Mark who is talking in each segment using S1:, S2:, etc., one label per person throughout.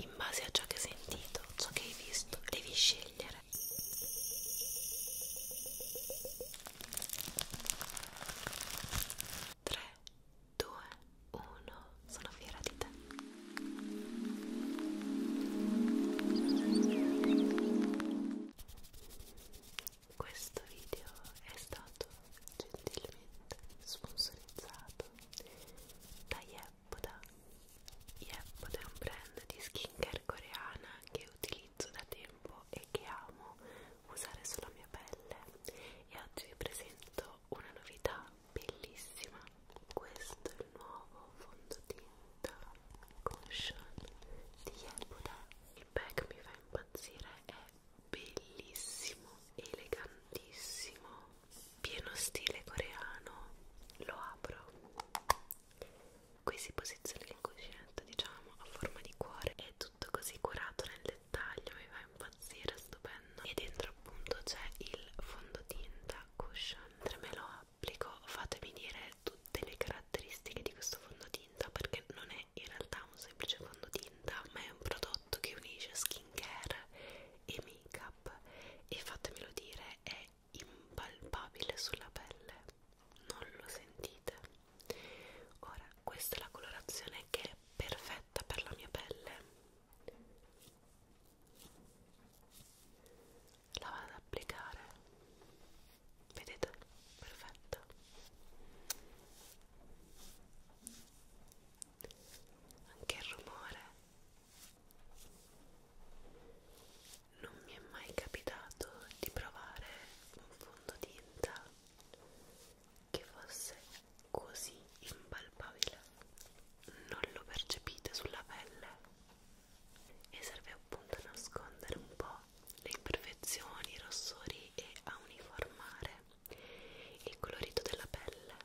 S1: In base a ciò che hai sentito, ciò che hai visto, devi scegliere. Tre, due, uno, sono fiera di te. Questo video è stato gentilmente sponsorizzato da Yep Yepoda Yepoda è un brand di skincare coreana che utilizzo da tempo e che amo usare sulla mia pelle e oggi vi presento una novità bellissima questo è il nuovo fondotinta cushion di Yepoda il bag mi fa impazzire è bellissimo elegantissimo pieno stile coreano lo apro qui si posiziona il cuscinetto diciamo a forma di cuore è tutto così curato nel dettaglio mi fa impazzire stupendo e dentro appunto c'è il fondotinta cushion mentre me lo applico fatemi dire tutte le caratteristiche di questo fondotinta perché non è in realtà un semplice fondotinta ma è un prodotto che unisce skincare e make up e fatemelo dire è impalpabile sulla pelle non lo sentite ora questa è la colorazione che è perfetta per la mia pelle la vado ad applicare vedete perfetta anche il rumore non mi è mai capitato di provare un fondotinta che fosse così impalpabile. Non lo percepite sulla pelle e serve appunto a nascondere un po' le imperfezioni, i rossori e a uniformare il colorito della pelle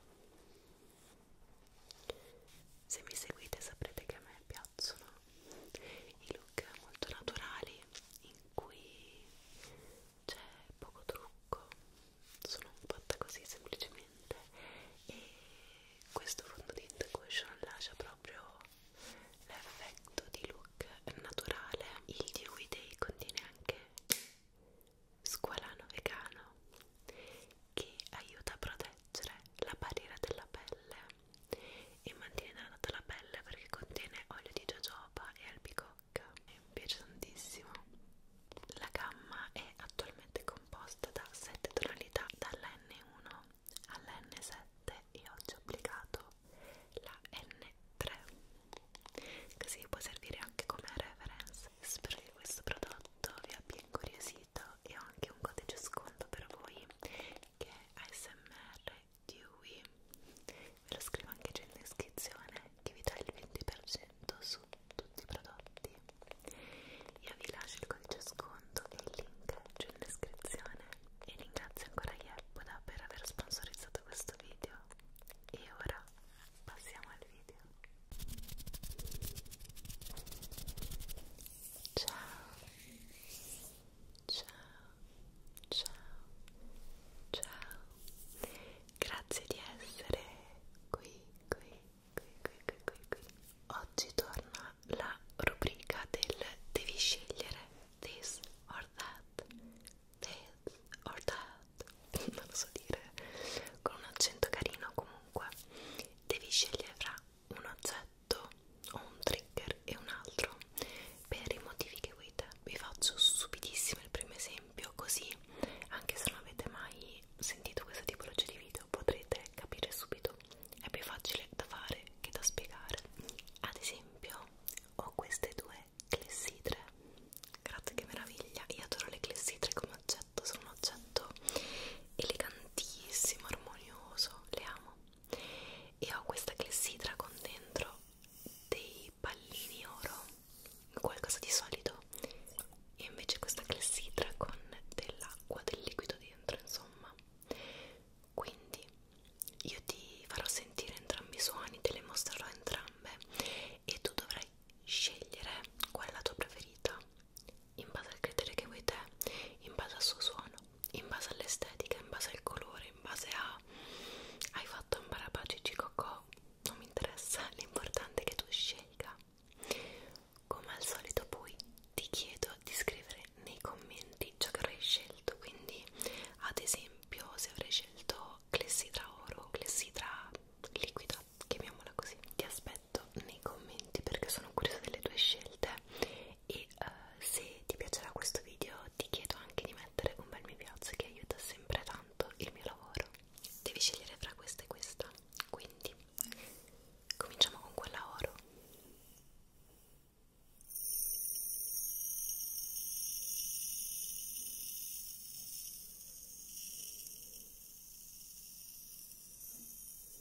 S1: se mi seguite saprete che a me piacciono i look molto naturali in cui c'è poco trucco sono fatta così semplicemente e questo fondotinta cushion lascia proprio l'effetto di look naturale il dewy day contiene anche squalano vegano che aiuta a proteggere la barriera della pelle e mantiene data la pelle perché contiene olio di jojoba e albicocca mi piace tantissimo la gamma è attualmente composta da 7 tonalità dall'N1 all'N7 e oggi ho applicato la N3 così può servire anche come reference spero che questo prodotto vi abbia incuriosito sito e ho anche un codice sconto per voi che è ASMR Dewey ve lo scrivo anche già in descrizione che vi dà il 20% su tutti i prodotti io vi lascio il codice sconto e il link giù in descrizione e ringrazio ancora Yeppoda per aver sponsorizzato questo video e ora passiamo al video Ciao. Ciao. Ciao. Ciao. Grazie di essere qui, qui, qui, qui, qui, qui, qui. Oggi torna la rubrica del devi scegliere this or that. This or that. Non lo so dire. Con un accento carino comunque comunque devi scegliere fra un oggetto o un trigger e un altro per i motivi che vuoi te vi faccio stupidissimo il primo esempio così anche se non avete mai sentito questa tipologia di video potrete capire subito è più facile da fare che da spiegare ad esempio ho queste due clessidre grazie che meraviglia io adoro le clessidre come oggetto oggetto sono un oggetto elegantissimo, armonioso, le amo e ho questa clessidra con dentro dei pallini oro qualcosa di solido e invece questa clessidra con dell'acqua, del liquido dentro insomma quindi io ti farò sentire entrambi i suoni, te le mostrerò entrambe e tu dovrai scegliere qual è la tua preferita in base al criterio che vuoi te, in base al suo suono, in base all'estetica, in base al colore, in base a hai fatto un barabacici cocò, non mi interessa, l'importante è che tu scelga. Come al solito poi ti chiedo di scrivere nei commenti ciò che avrai scelto, quindi ad esempio se avrai scelto clessidra oro, clessidra liquida, chiamiamola così. Ti aspetto nei commenti perché sono curiosa delle tue scelte e uh, se ti piacerà questo video ti chiedo anche di mettere un bel mi piace che aiuta sempre tanto il mio lavoro. Devi scegliere fra questa e questa, quindi cominciamo con quella oro.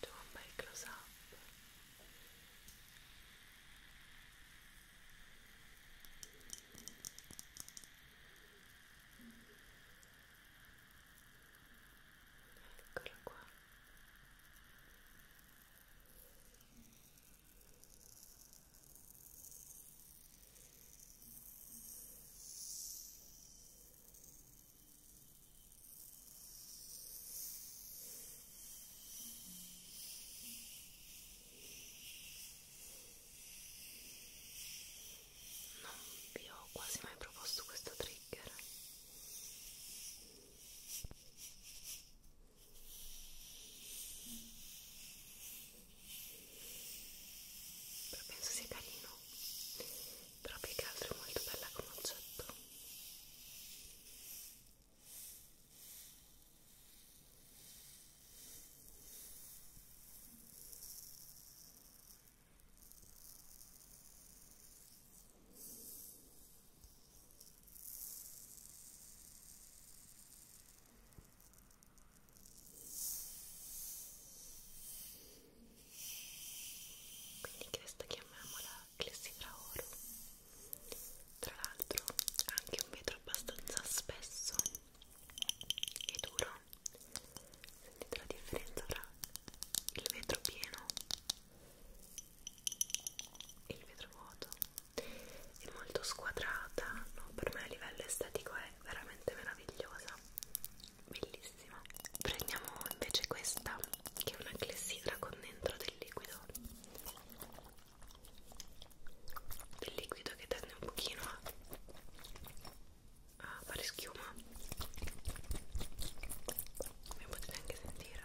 S1: C'è un bel close up Eccolo qua non vi ho quasi mai proposto questo trigger. Però penso sia carino però più che altro è molto bella come oggetto quindi questa chiamiamola clessidra oro tra l'altro ha anche un vetro abbastanza spesso e duro sentite la differenza tra il vetro pieno e il vetro vuoto è molto squadrata no? per me a livello estetico è veramente meravigliosa bellissima prendiamo invece questa che è una clessidra con dentro del liquido del liquido che tende un pochino a, a fare schiuma come potete anche sentire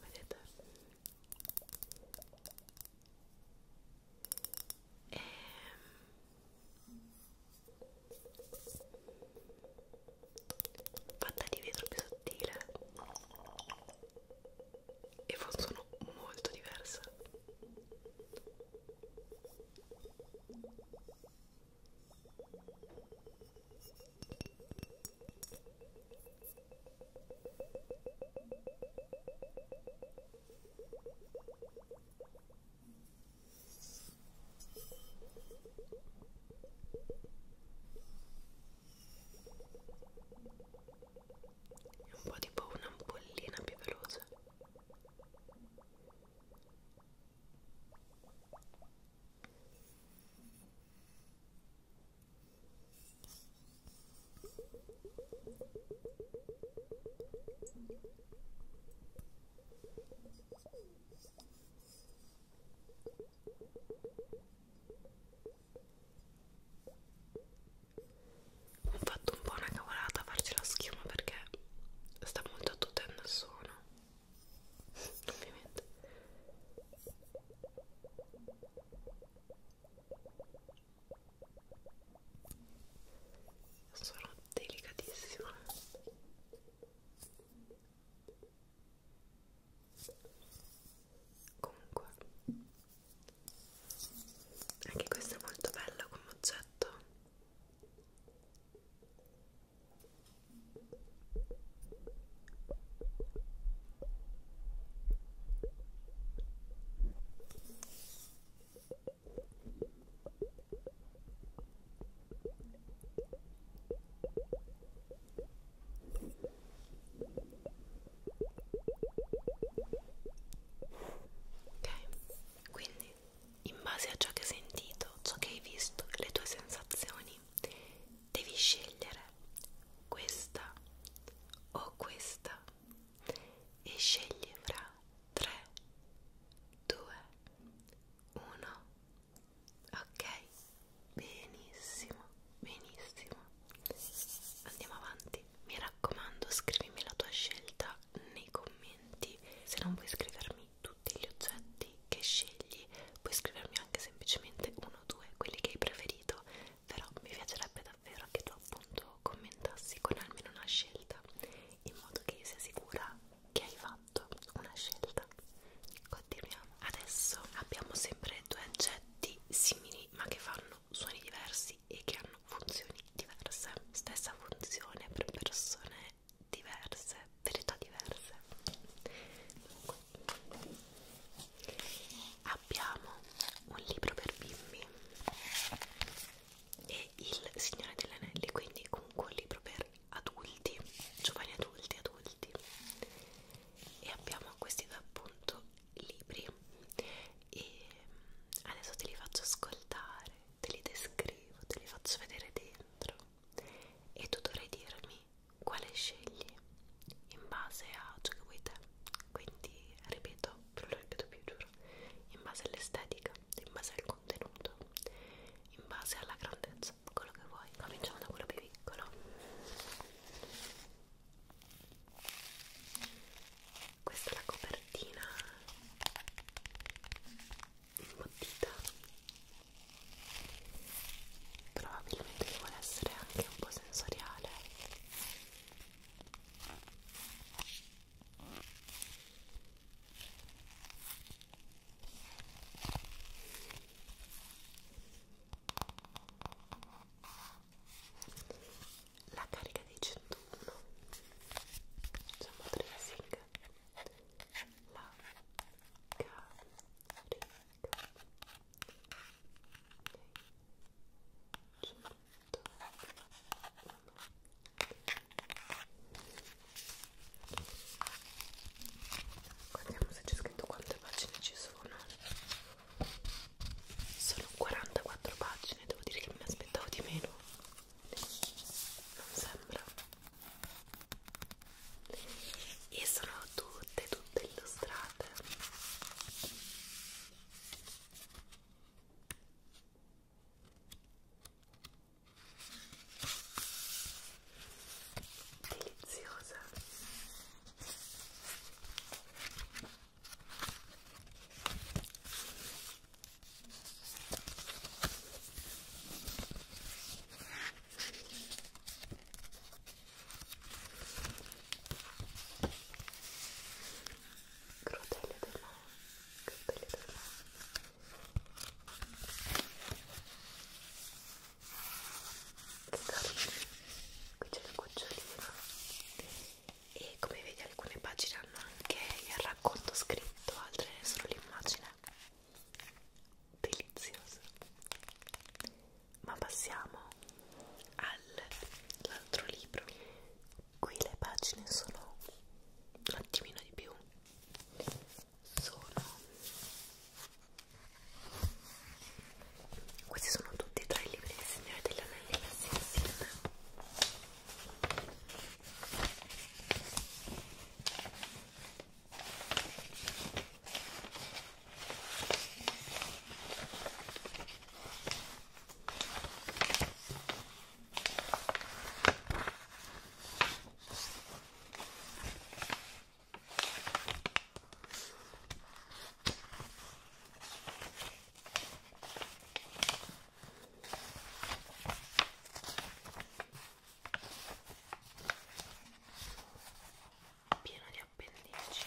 S1: vedete e... Ehm, fatta di vetro più sottile e fa un suono molto diverso è un po' tipo un'ampollina più veloce. Ho fatto un po' una cavolata a farci la schiuma perché sta molto attutendo il suono ovviamente sono delicatissime comunque anche questo è molto bello come oggetto Ok, quindi in base a ciò che hai sentito, ciò che hai visto, le tue sensazioni, devi scegliere questa o questa e scegli fra 3 2 1 ok benissimo benissimo andiamo avanti mi raccomando scrivimi la tua scelta nei commenti se non vuoi scrivermi tutti gli oggetti che scegli puoi scrivermi anche semplicemente uno o due quelli che hai preferito però mi piacerebbe davvero che tu appunto commentassi con almeno una scelta in modo che io sia sicura che hai fatto una scelta continuiamo adesso abbiamo sempre due oggetti simili ma che fanno suoni diversi e che hanno funzioni diverse stessa funzione per persone diverse, verità diverse comunque abbiamo un libro per bimbi e il Signore degli Anelli, quindi comunque un libro per adulti, giovani adulti, adulti e abbiamo questi due appunto libri e mm, adesso te li faccio ascoltare, te li descrivo, te li faccio vedere dentro e tu dovrai dirmi quale scegli in base a ciò che vuoi te quindi ripeto, non lo ripeto più giuro in base all'estetica, in base al contenuto in base alla grandezza, quello che vuoi cominciamo da quello più piccolo questa è la copertina imbottita probabilmente vuole essere anche un po' sensoriale la carica dei 101 diciamo tracing la carica okay. 101. guardiamo se c'è scritto quante pagine ci sono sono 44 pagine devo dire che me ne aspettavo di meno non sembra e sono due tutte tutte illustrate deliziosa crotelle della crotelle della che carini qui c'è la gocciolina e come vedi alcune pagine hanno anche il racconto scritto altre solo l'immagine delizioso ma passiamo all'altro libro qui le pagine sono un attimino di più sono questi sono tutti e tre i libri del Signore degli Anelli messi insieme pieno di appendici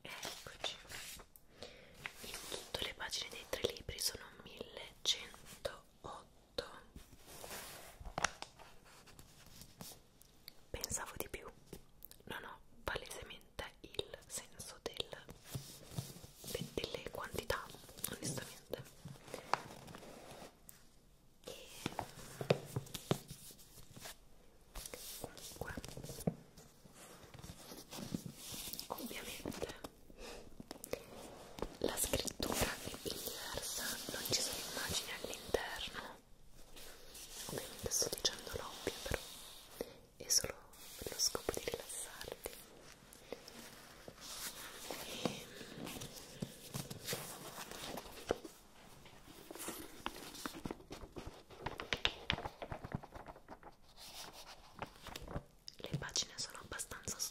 S1: Eccoci. In tutto le pagine dei tre libri sono 1108. Pensavo di più. Non ho palesemente il senso del, delle quantità, onestamente comunque ovviamente la scrittura è diversa non ci sono immagini all'interno ovviamente sto dicendo l'ovvio però è solo per lo scopo di rilassarti le pagine sono abbastanza sottili.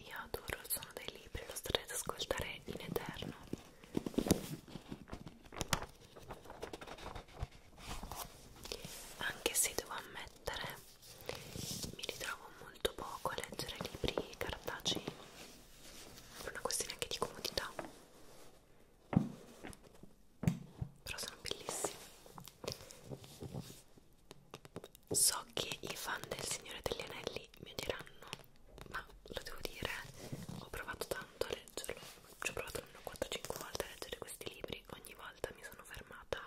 S1: Io adoro il suono dei libri, lo starete ad ascoltare in eterno anche se devo ammettere mi ritrovo molto poco a leggere libri cartacei per una questione anche di comodità però sono bellissimi so che i fan del Signore degli Anelli mi odieranno ma lo devo dire, ho provato tanto a leggerlo, ci ho provato almeno 4-5 volte a leggere questi libri, ogni volta mi sono fermata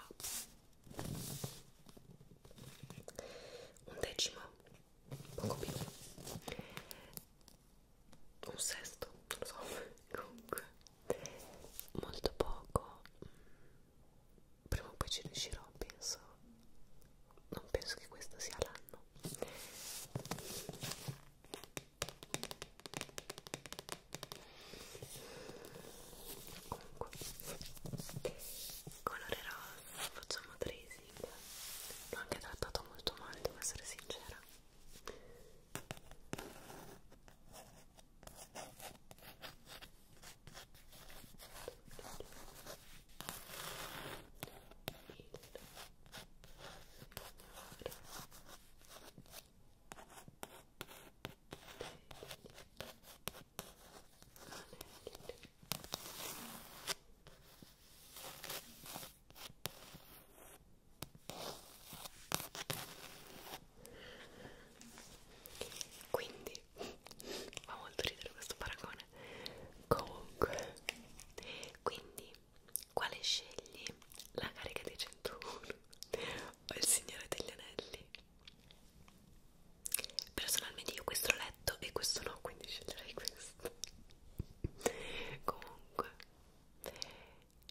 S1: un decimo, poco più, un sesto, non lo so, comunque, molto poco, prima o poi ci riuscirò, penso, non penso che questo sia l'anno comunque colore rosa facciamo tracing l'ho anche trattato molto male devo essere sincera il quindi fa molto ridere questo paragone comunque quindi quale scegli? la carica dei 101 o il signore degli anelli? personalmente io questo l'ho letto e questo no quindi sceglierei questo comunque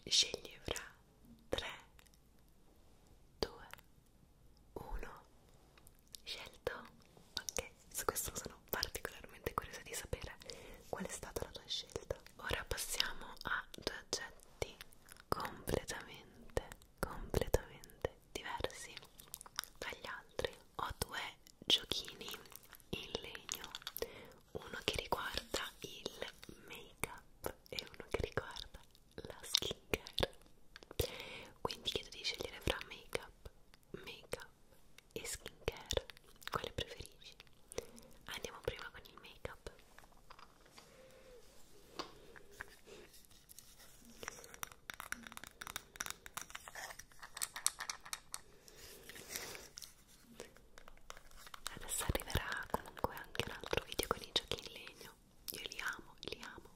S1: scegli fra 3 2 1 scelto ok su questo sono particolarmente curiosa di sapere qual è stata la tua scelta. Ora passiamo a due oggetti completamente, completamente diversi dagli altri. Ho due giochini in legno, uno che riguarda il make-up e uno che riguarda la skincare. Quindi chiedo di scegliere fra make-up make up e skincare, quale preferisci? Andiamo prima con il make up. Adesso arriverà comunque anche un altro video con i giochi in legno. Io li amo, li amo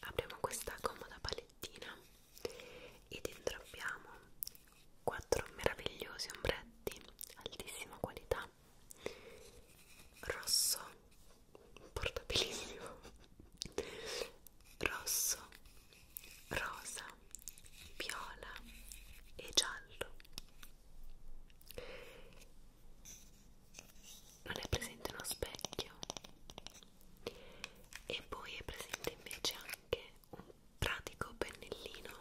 S1: apriamo questa comoda palettina ed dentro abbiamo quattro meravigliosi ombretti altissima qualità rosso portabilissimo rosso rosa viola e giallo non è presente uno specchio e poi è presente invece anche un pratico pennellino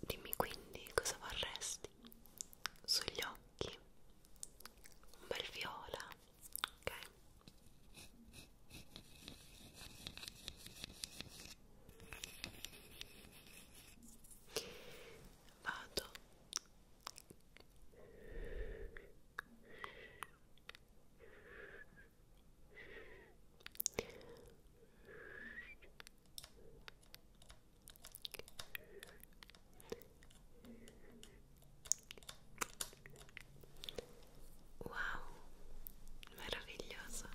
S1: dimmi quindi cosa vorresti sugli occhi un bel viola ok vado Wow, meraviglioso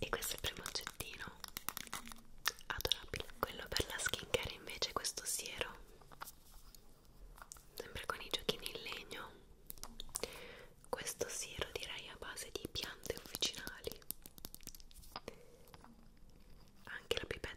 S1: e questo è il primo oggettino adorabile quello per la skincare invece questo siero sempre con i giochini in legno questo siero direi a base di piante officinali anche la pipetta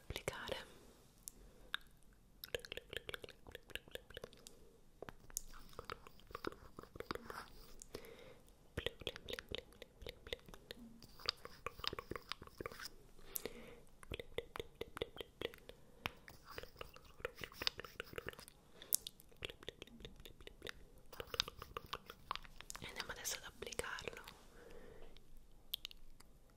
S1: applicare e andiamo adesso ad applicarlo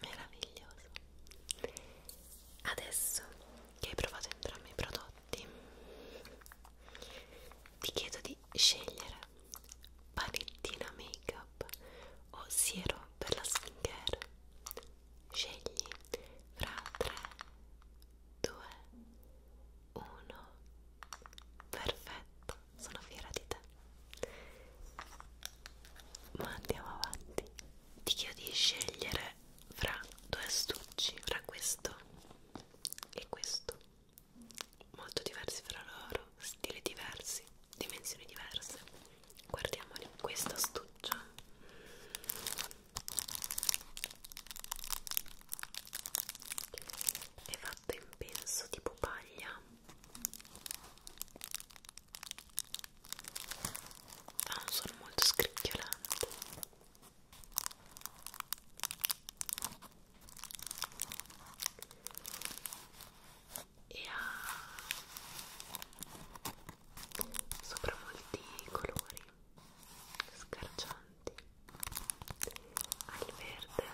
S1: meraviglioso adesso che hai provato entrambi i prodotti ti chiedo di scegliere palettina make up o siero per la skincare scegli fra 3 2 1 perfetto sono fiera di te. Ma andiamo avanti. Ti chiedo di scegliere fra due astucci, fra questo e questo. Molto diversi fra loro, stili diversi, dimensioni diverse. Guardiamoli. Questo astuccio è fatto in penso tipo paglia ha un suono molto scricchiolante e ha sopra molti colori scarcianti al verde,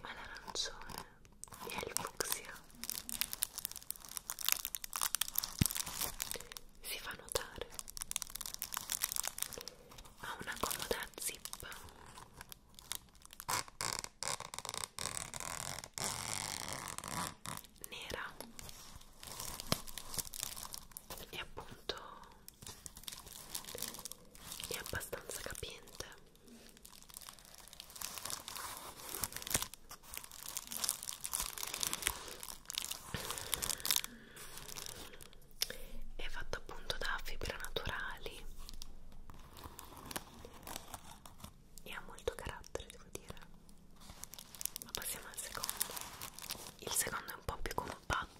S1: all'arancione e al fucsia. Si fa notare. Ha una comoda zip. Nera e appunto è abbastanza capiente è fatto appunto da fibre naturali e ha molto carattere devo dire ma passiamo al secondo il secondo è un po' più compatto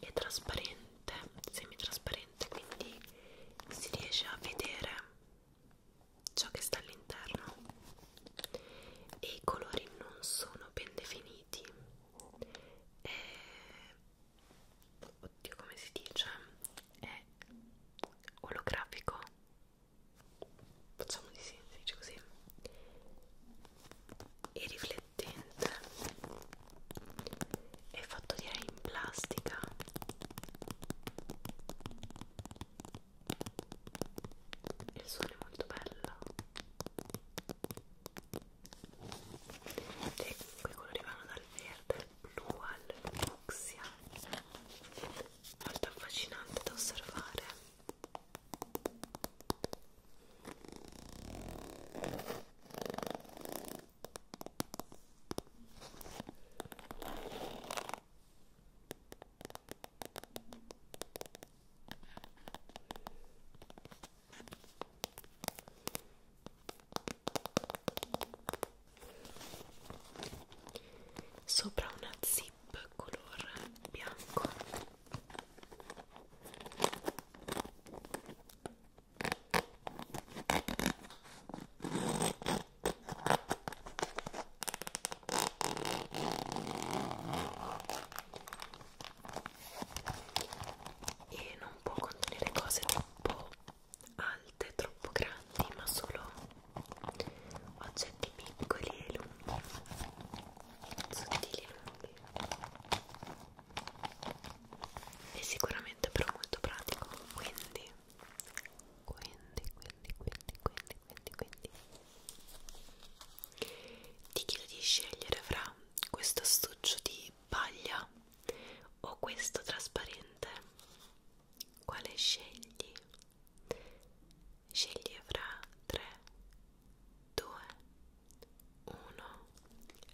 S1: è trasparente semitrasparente quindi si riesce a vedere ciò che sta all'interno e i colori non sono ben definiti è... oddio come si dice è olografico facciamo di sì, si dice così e riflettente è fatto direi in plastica il suono è molto bello e quei colori vanno dal verde al blu al fucsia molto affascinante da osservare sopra una zip color bianco e non può contenere cose troppo alte, troppo grandi, ma solo oggetti piccoli e lunghi, sottili e lunghi. È sicuramente però molto pratico, quindi, quindi, quindi, quindi, quindi, quindi, quindi. Ti chiedo di scegliere fra questo astuccio di paglia o questo trasparente quale scegli? Scegli fra 3, 2, 1.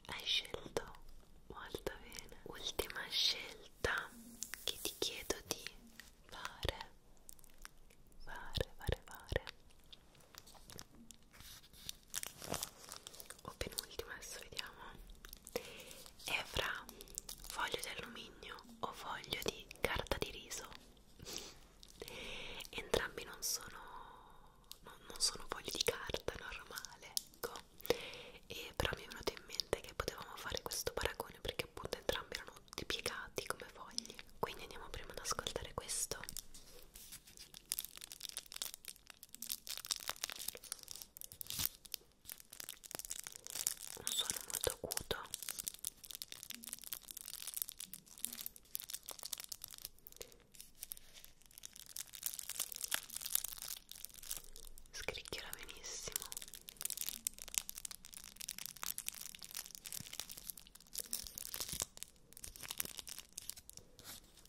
S1: Hai scelto molto bene. Ultima scelta che ti chiedo di fare. Fare, fare, fare. O penultima, adesso vediamo è fra foglio di alluminio o foglio di carta di riso entrambi non sono no, non sono fogli di carta normale ecco e però mi è venuto in mente che potevamo fare questo paragone perché appunto entrambi erano tutti piegati come fogli quindi andiamo prima ad ascoltare questo un suono molto acuto scricchiola benissimo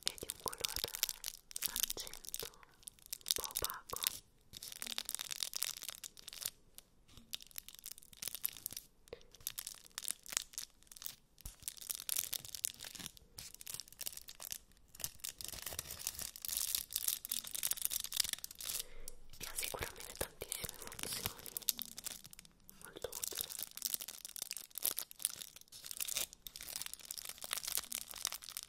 S1: è di un colore argento un po' opaco e ha sicuramente tantissime funzioni molto utile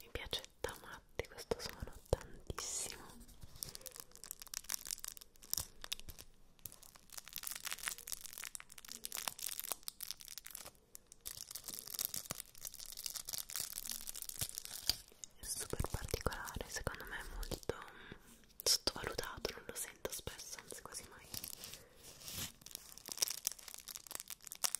S1: mi piace da matti questo suono tantissimo è super particolare secondo me è molto mm, sottovalutato non lo sento spesso anzi quasi mai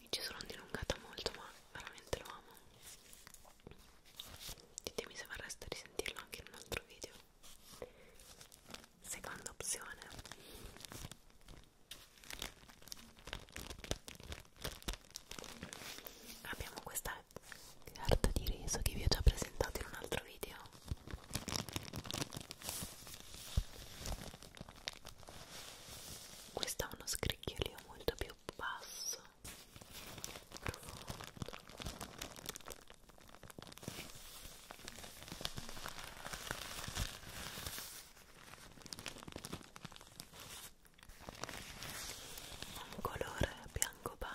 S1: mi ci sono dilungata molto ma veramente lo amo ditemi se vorreste risentirlo anche in un altro video seconda opzione abbiamo questa carta di riso che vi ho già presentato in un altro video questo ha uno scricchiolio molto più basso profondo un colore bianco panna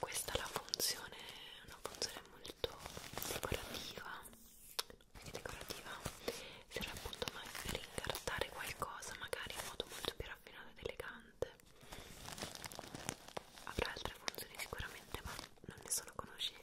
S1: Questa è la funzione, una funzione molto decorativa, più decorativa, serve appunto per incartare qualcosa, magari in modo molto più raffinato ed elegante. Avrà altre funzioni sicuramente, ma non ne sono conoscenza.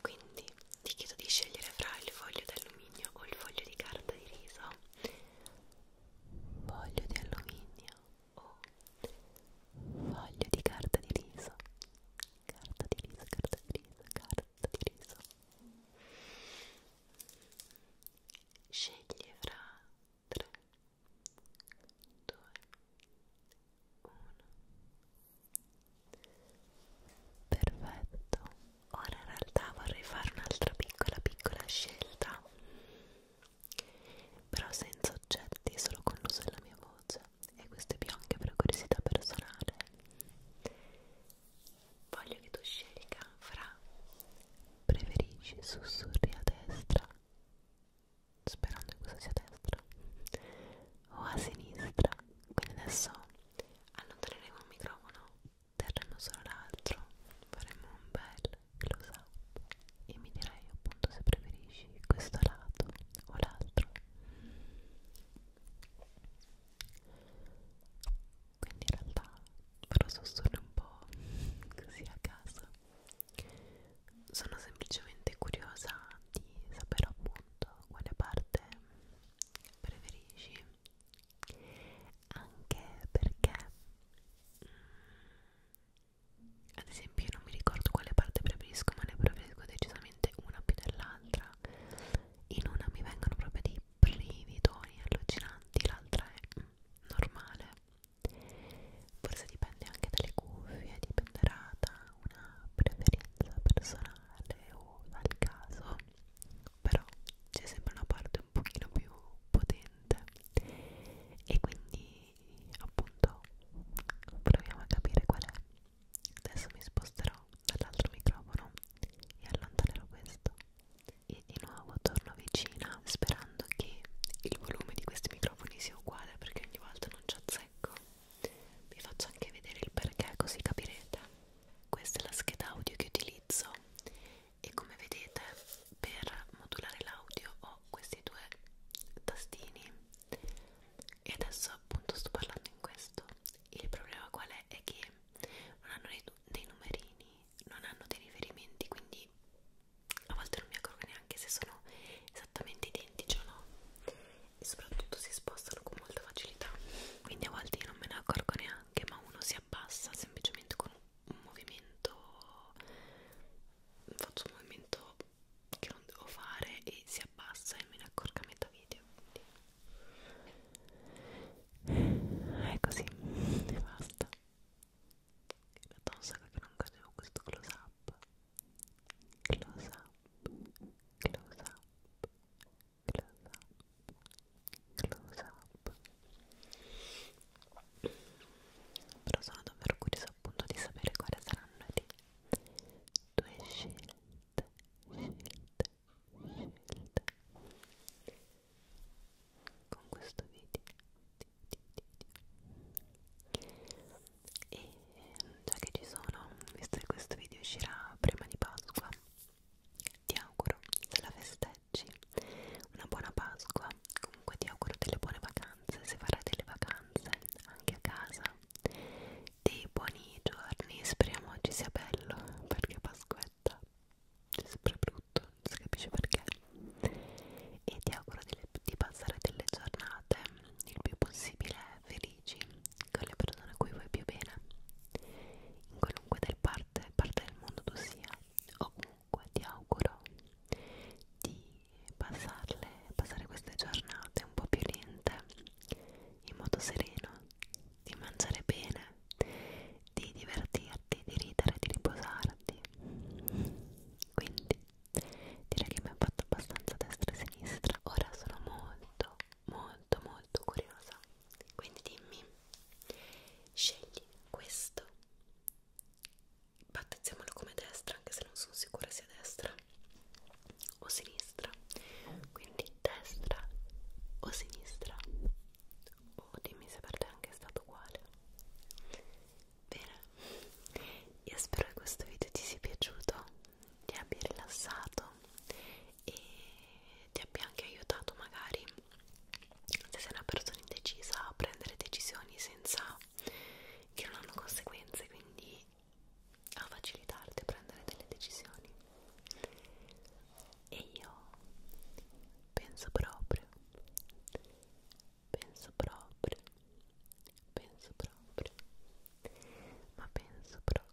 S1: Quindi ti chiedo di scegliere fra il foglio d'alluminio o il foglio di carta di riso. Foglio di alluminio o foglio di carta di riso. Carta di riso, carta di riso, carta di riso. Scegli fra 3, 2, perfetto ora in realtà vorrei fare un'altra piccola piccola scelta però senza oggetti solo con l'uso della mia voce e questo è più anche per curiosità personale voglio che tu scelga fra preferisci sussurri a destra sperando che questo sia a destra o a sinistra quindi adesso allontaneremo il microfono terremo solo l'altro faremo un bel close up e mi direi appunto se preferisci questo lato o l'altro quindi in realtà farò sussurro un po' così a caso sono semplicemente curiosa di sapere appunto quale parte preferisci anche perché mm, ad esempio io non mi ricordo quale parte preferisco ma ne preferisco decisamente una più dell'altra in una mi vengono proprio dei brividoni allucinanti l'altra è mm, normale forse dipende anche dalle cuffie dipenderà da una preferenza personale banale o al caso però c'è sempre una parte un pochino più potente e quindi appunto proviamo a capire qual è adesso mi sposterò dall'altro microfono e allontanerò questo e di nuovo torno vicina sperando che il volume di questi microfoni sia uguale perché ogni volta non ci azzecco vi faccio anche vedere il perché così capirete questa è la scheda audio che utilizzo e come vedete per modulare l'audio ho questi due tastini e adesso appunto sto parlando in questo il problema qual è? è che non hanno dei, dei numerini non hanno dei riferimenti quindi a volte non mi accorgo neanche se sono esattamente identici o no e soprattutto si spostano con molta facilità quindi a volte io non me ne accorgo neanche ma uno si abbassa semplicemente con un movimento faccio un movimento che non devo fare e si abbassa e me ne accorgo a metà video quindi. è così e basta in realtà un sacco che non facevo questo close up close up close up, close up, close up. Però sono davvero curiosa appunto di sapere quali saranno le tue scelte, scelte, scelte con questo video. E già che ci sono, visto che questo video uscirà prima di Pasqua, ti auguro, se la festeggi, una buona Pasqua. Comunque ti auguro delle buone vacanze, se farai delle vacanze anche a casa, dei buoni giorni, speriamo oggi sia bello, perché Pasquetta è sempre brutto, non si capisce perché. E ti auguro delle, di passare delle giornate il più possibile felici con le persone a cui vuoi più bene, in qualunque del parte, parte del mondo tu sia, o comunque ti auguro di passarle, passare queste giornate un po' più lente, in modo sereno, di mangiare bene, di divertirti, di ridere, di riposarti. Quindi direi che mi ha fatto abbastanza destra e sinistra. Ora sono molto molto molto curiosa quindi dimmi scegli questo battezziamolo come destra anche se non sono sicura sia destra o sinistra quindi destra o sinistra o oh, dimmi se per te anche è stato uguale bene io spero che questo video ti sia piaciuto ti abbia rilassato e ti abbia anche aiutato magari se sei una persona indecisa a prendere decisioni senza che non hanno conseguenze quindi a facilitarti a prendere delle decisioni e io penso proprio penso proprio penso proprio ma penso proprio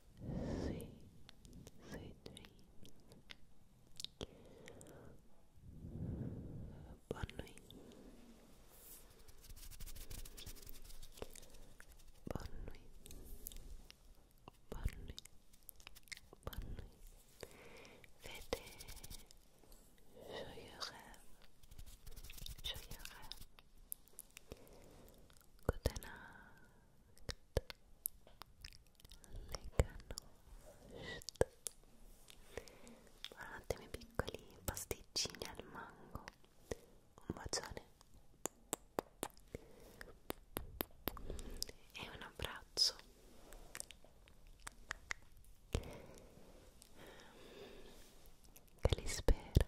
S1: Sweet, sweet dreams. Bonne nuit. Bonne nuit. Bonne nuit. Bonne nuit. Fais joyeux rêves. Joyeux rêves. Good Buonanotte miei piccoli pasticcini al mango. Un bacione e un abbraccio. Che li spera.